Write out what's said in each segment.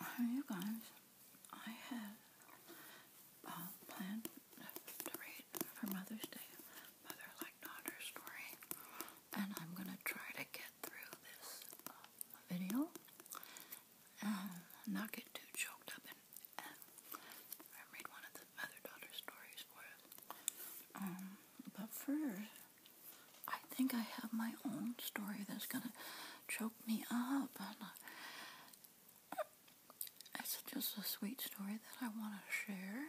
Uh, you guys, I have uh, planned to read for Mother's Day, Mother Daughter story, and I'm gonna try to get through this uh, video and not get too choked up and, read one of the Mother Daughter stories for us. Um, but first, I think I have my own story that's gonna choke me up. Uh, it's just a sweet story that I want to share.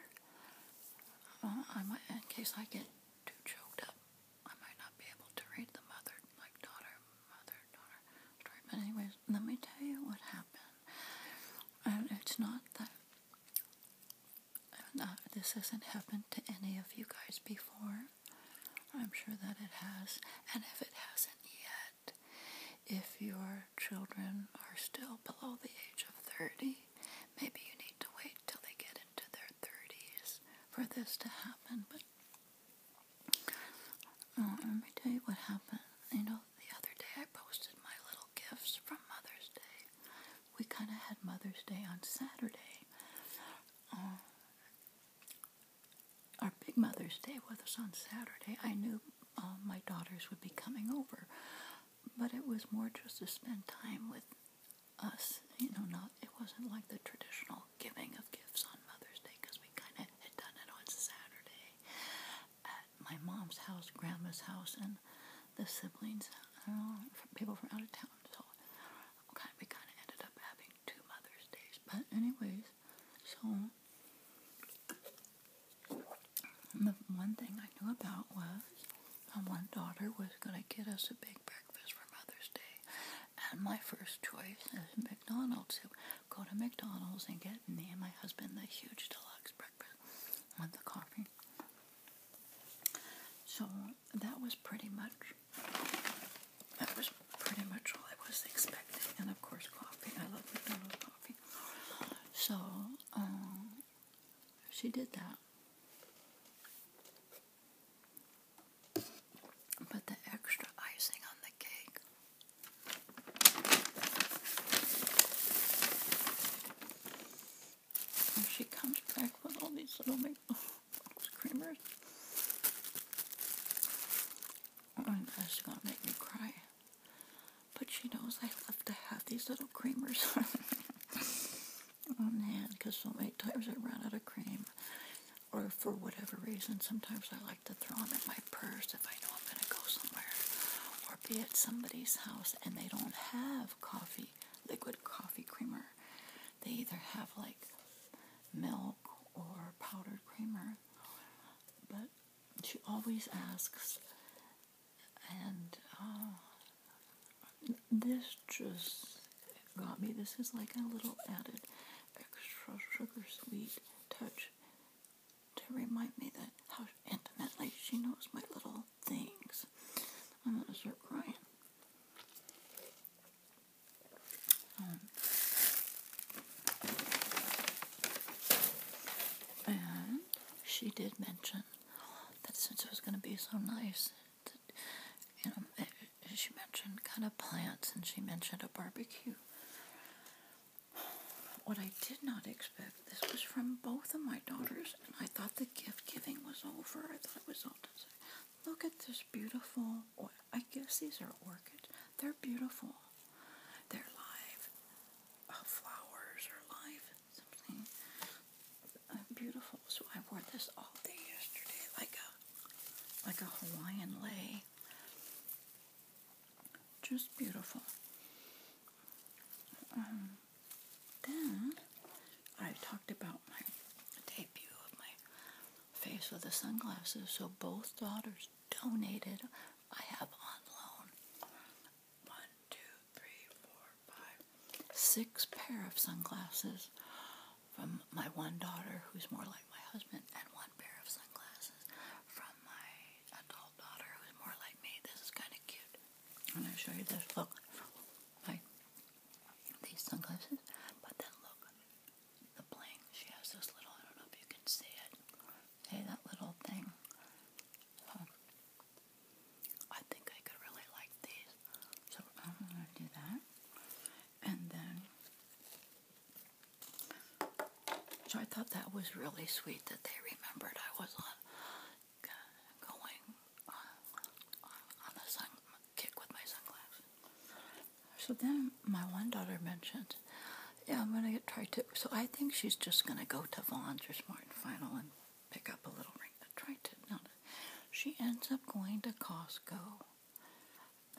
Uh, in case I get too choked up, I might not be able to read the mother, like daughter, mother, daughter story. But anyways, let me tell you what happened. And it's not that. Uh, this hasn't happened to any of you guys before. I'm sure that it has. And if it hasn't yet, if your children are still below the age of 30, maybe you need to wait till they get into their 30s for this to happen. But oh, let me tell you what happened. You know, the other day I posted my little gifts from Mother's Day. We kind of had Mother's Day on Saturday uh, our big Mother's Day with us on Saturday, I knew uh, my daughters would be coming over, but it was more just to spend time with us. You know, not it wasn't like the traditional giving of gifts on Mother's Day because we kind of had done it on Saturday at my mom's house, grandma's house, and the siblings, uh, people from out of town. So Okay, we kind of ended up having two Mother's Days, but anyways, so the one thing I knew about was um, my one daughter was gonna get us a big breakfast for Mother's Day, and my first choice is McDonald's. So go to McDonald's and get me and my husband the huge deluxe breakfast with the coffee. So that was pretty much that was pretty much all I was expecting, and of course coffee. I love McDonald's coffee. So um, she did that, but the extra icing on the cake. And she comes back with all these little McDonald's creamers. And that's gonna make me cry. But she knows I love to have these little creamers. oh man, because so many times I run out of cream. Or for whatever reason, sometimes I like to throw them in my purse if I know I'm gonna go somewhere. Or be at somebody's house and they don't have coffee, liquid coffee creamer they either have like milk or powdered creamer. But she always asks, and uh, this just got me. This is like a little added extra sugar sweet touch to remind me that how intimately she knows my little things. I'm gonna start crying. Um, and she did mention that since it was going to be so nice, you know, she mentioned kind of plants and she mentioned a barbecue. What I did not expect, this was from both of my daughters, and I thought the gift giving was over. I thought it was all done. Look at this beautiful, I guess these are orchids. They're beautiful. They're live. Uh, flowers are live. Something uh, beautiful. So I wore this all day yesterday, like a like a Hawaiian lei. Just beautiful. Um, then I talked about my debut of my face with the sunglasses, so both daughters donated. I have on loan one, two, three, four, five, six pair of sunglasses from my one daughter, who's more like my husband, and one pair of sunglasses from my adult daughter, who's more like me. This is kind of cute. I'm going to show you this. Look, my these sunglasses. But then look, the bling. She has those little, I don't know if you can see it. Hey, that little thing. Um, I think I could really like these. So I'm going to do that. And then, so I thought that was really sweet that they remembered I was on going on, the sun kick with my sunglasses. So then my one daughter mentioned, "Yeah, I'm gonna get try to." So I think she's just gonna go to Vaughn's or Smart and Final and pick up a little ring. Try to no, she ends up going to Costco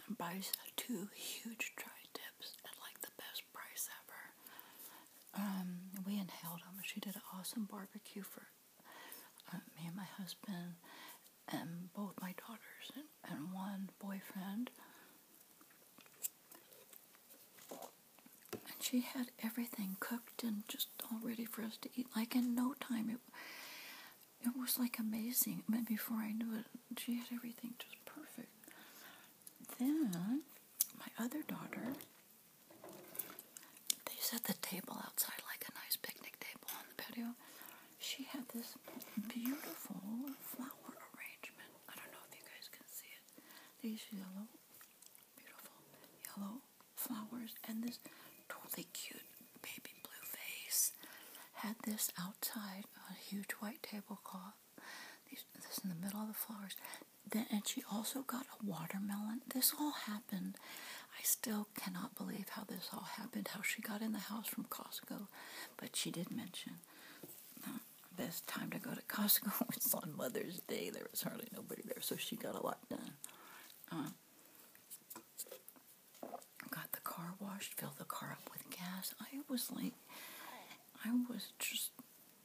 and buys two huge tri tips at like the best price ever. Um, we inhaled them. She did an awesome barbecue for uh, me and my husband and both my daughters and, one boyfriend. And she had everything cooked and just all ready for us to eat. Like in no time, it it was like amazing. I before I knew it, she had everything just perfect. Then my other daughter they set the table outside like a nice picnic table on the patio. She had this beautiful flower arrangement. I don't know if you guys can see it. These yellow, beautiful yellow flowers, and this totally cute baby blue face Had this outside on a huge white tablecloth. These, this in the middle of the flowers. Then, and she also got a watermelon. This all happened I still cannot believe how this all happened, how she got in the house from Costco, but she did mention uh, best time to go to Costco was on Mother's Day. There was hardly nobody there, so she got a lot done. Um, got the car washed, filled the car up with gas. I was like, I was just,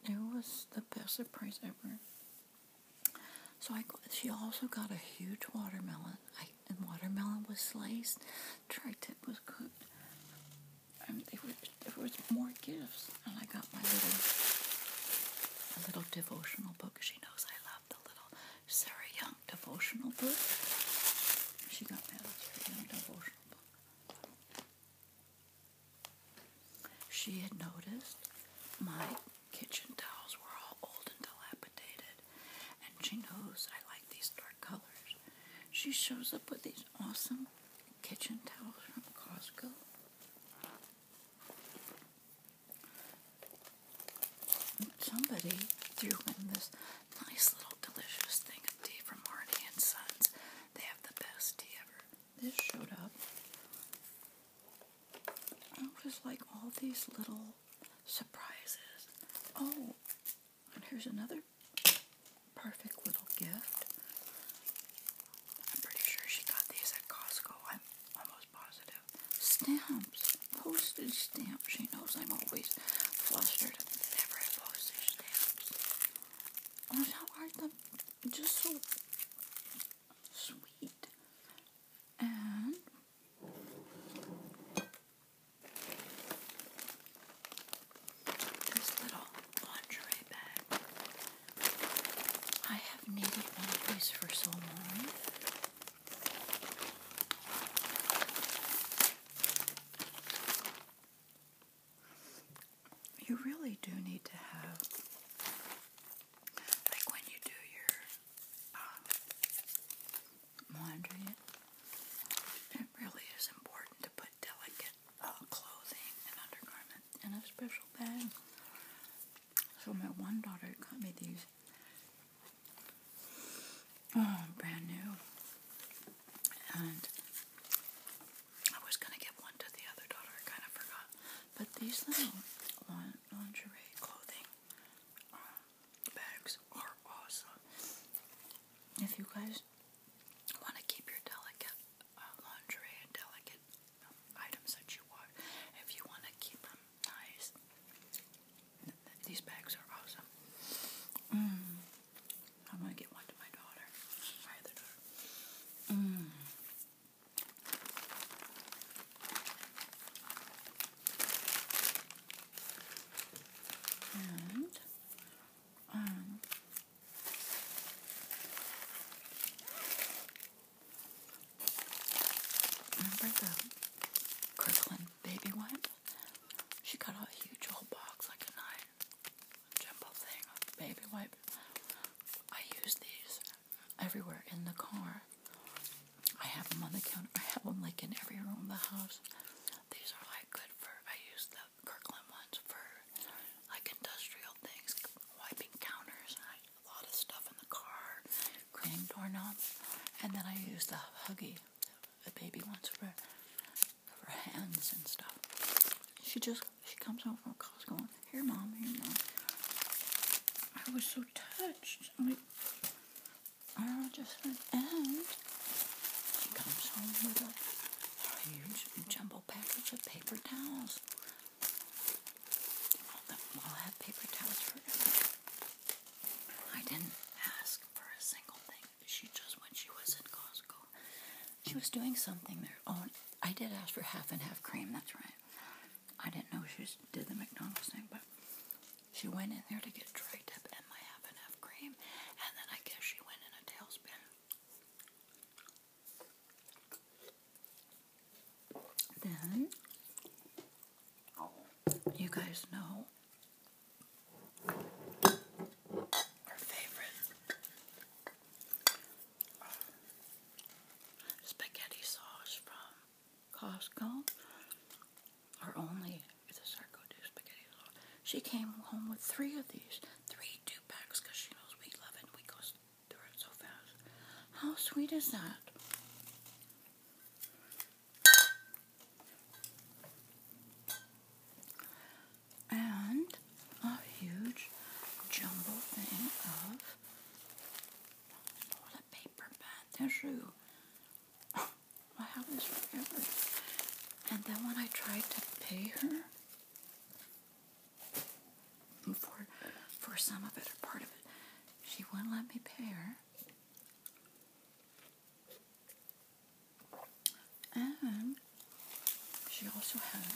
it was the best surprise ever. So I got, she also got a huge watermelon. I, and watermelon was sliced. Tri-tip was cooked. And were, there was more gifts. And I got my little, a little devotional book. She knows I love the little Sarah Young devotional book. She got me a Sarah Young devotional book. She had noticed my kitchen towels were all old and dilapidated, and she knows I like these dark colors. She shows up with these awesome kitchen towels from Costco. somebody threw in this nice little delicious thing of tea from Marty and Sons. They have the best tea ever. This showed up it was like all these little surprises. Oh, and here's another perfect little gift. I'm pretty sure she got these at Costco. I'm almost positive. Stamps. Postage stamp. She knows I'm always flustered whenever I postage stamps. Oh, how are them? Just so sweet and this little lingerie bag. I have needed one of these for so long. You really do need to have like when you do your um, laundry, it really is important to put delicate uh, clothing and undergarment in a special bag. So my one daughter got me these oh, brand new, and I was gonna give one to the other daughter. kind of forgot, but these little one lingerie clothing um, bags are awesome. If you guys want to keep your delicate uh, lingerie delicate um, items that you want, if you want to keep them nice, these bags are awesome. Mm. I'm gonna get one to my daughter, um, remember the Kirkland baby one? She got a huge old box, like a nine jumbo thing baby wipe. I use these everywhere in the car. I have them on the counter. I have them like in every room of the house. These are like good for, I use the Kirkland ones for like industrial things, wiping counters, A lot of stuff in the car, cleaning doorknobs. And then I use the Huggy, that baby wants for, for hands and stuff. She just she comes home from class going, Here, Mom, here, Mom. I was so touched. I'm like, oh, I just went, and she comes home with a huge jumbo package of paper towels. I'll have paper towels for I didn't ask for a single thing. She just, when she was in Costco, she was doing something there. Oh, I did ask for half and half cream, that's right. I didn't know she did the McDonald's thing, but she went in there to get a dry and my half and half cream, and then I guess she went in a tailspin. Then, you guys know her favorite spaghetti sauce from Costco, or only if the sarco do spaghetti sauce. She came home with three of these, three two packs, because she knows we love it. We go through it so fast. How sweet is that? And a huge jumbo thing of toilet paper by tissue. I have this forever. And then when I tried to pay her for for some of it or part of it, she wouldn't let me pay her. And she also had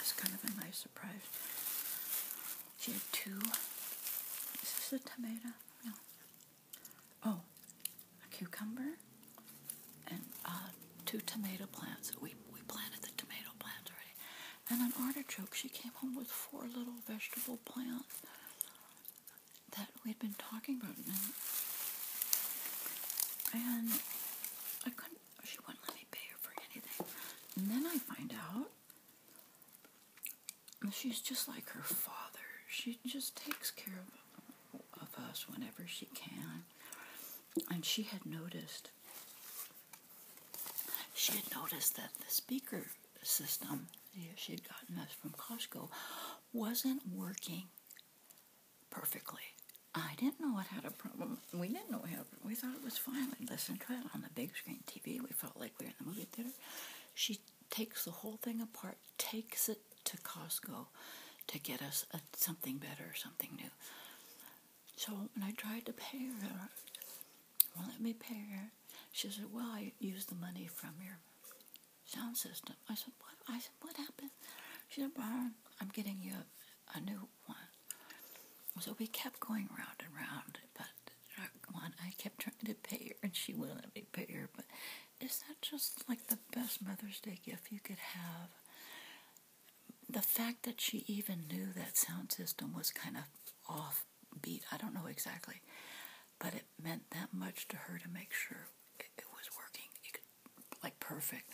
as kind of a nice surprise she had 2 Is this a tomato? No. Oh, a cucumber and uh, two tomato plants. We, we planted the tomato plants already. And an artichoke. She came home with four little vegetable plants that we'd been talking about. And I couldn't Oh, she wouldn't let me pay her for anything. And then I find out she's just like her father. She just takes care of, of us whenever she can. And she had noticed she had noticed that the speaker system she had gotten us from Costco wasn't working perfectly. I didn't know what had a problem um, we didn't know we had. We thought it was fine. We listened to it on the big screen TV. We felt like we were in the movie theater. She takes the whole thing apart, takes it to Costco to get us a, something better, something new. So when I tried to pay her, won't let me pay her. She said, "Well, I used the money from your sound system." I said, "What?" I said, "What happened?" She said, "Byron, I'm getting you a, a new do So we kept going round and round, but one I kept trying to pay her, and she wouldn't let me pay her. But is that just like the best Mother's Day gift you could have? The fact that she even knew that sound system was kind of off beat I don't know exactly, but it meant that much to her to make sure it, was working, like perfect.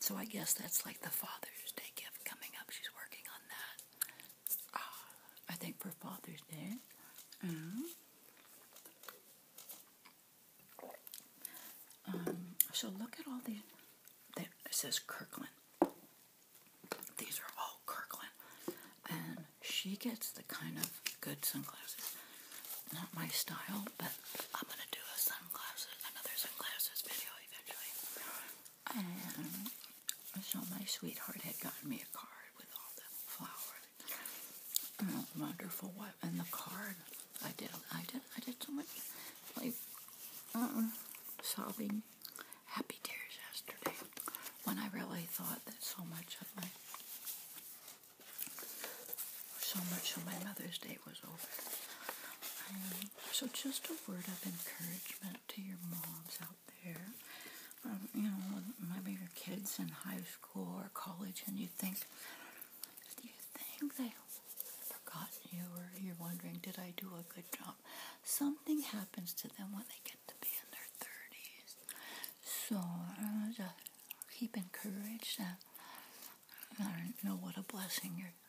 So I guess that's like the Father's Day gift coming up. She's working on that. Ah, I think for Father's Day. Uh-huh. Um, so look at all the. There, it says Kirkland. These are all Kirkland. And she gets the kind of good sunglasses. Not my style, but I'm going to do a sunglasses, another sunglasses video eventually. And um, so my sweetheart had gotten me a card with all the flowers. Oh, wonderful wife. And the card, I did, I did, I did so much like uh, um, sobbing, happy tears yesterday when I really thought that so much of my, so much of my Mother's Day was over. Um, so just a word of encouragement to your moms out there. Um, you know, maybe your kids in high school or college, and you think, do you think they forgot you, or you're wondering, did I do a good job? Something happens to them when they get to be in their thirties. So uh, just keep encouraged. Uh, I know what a blessing your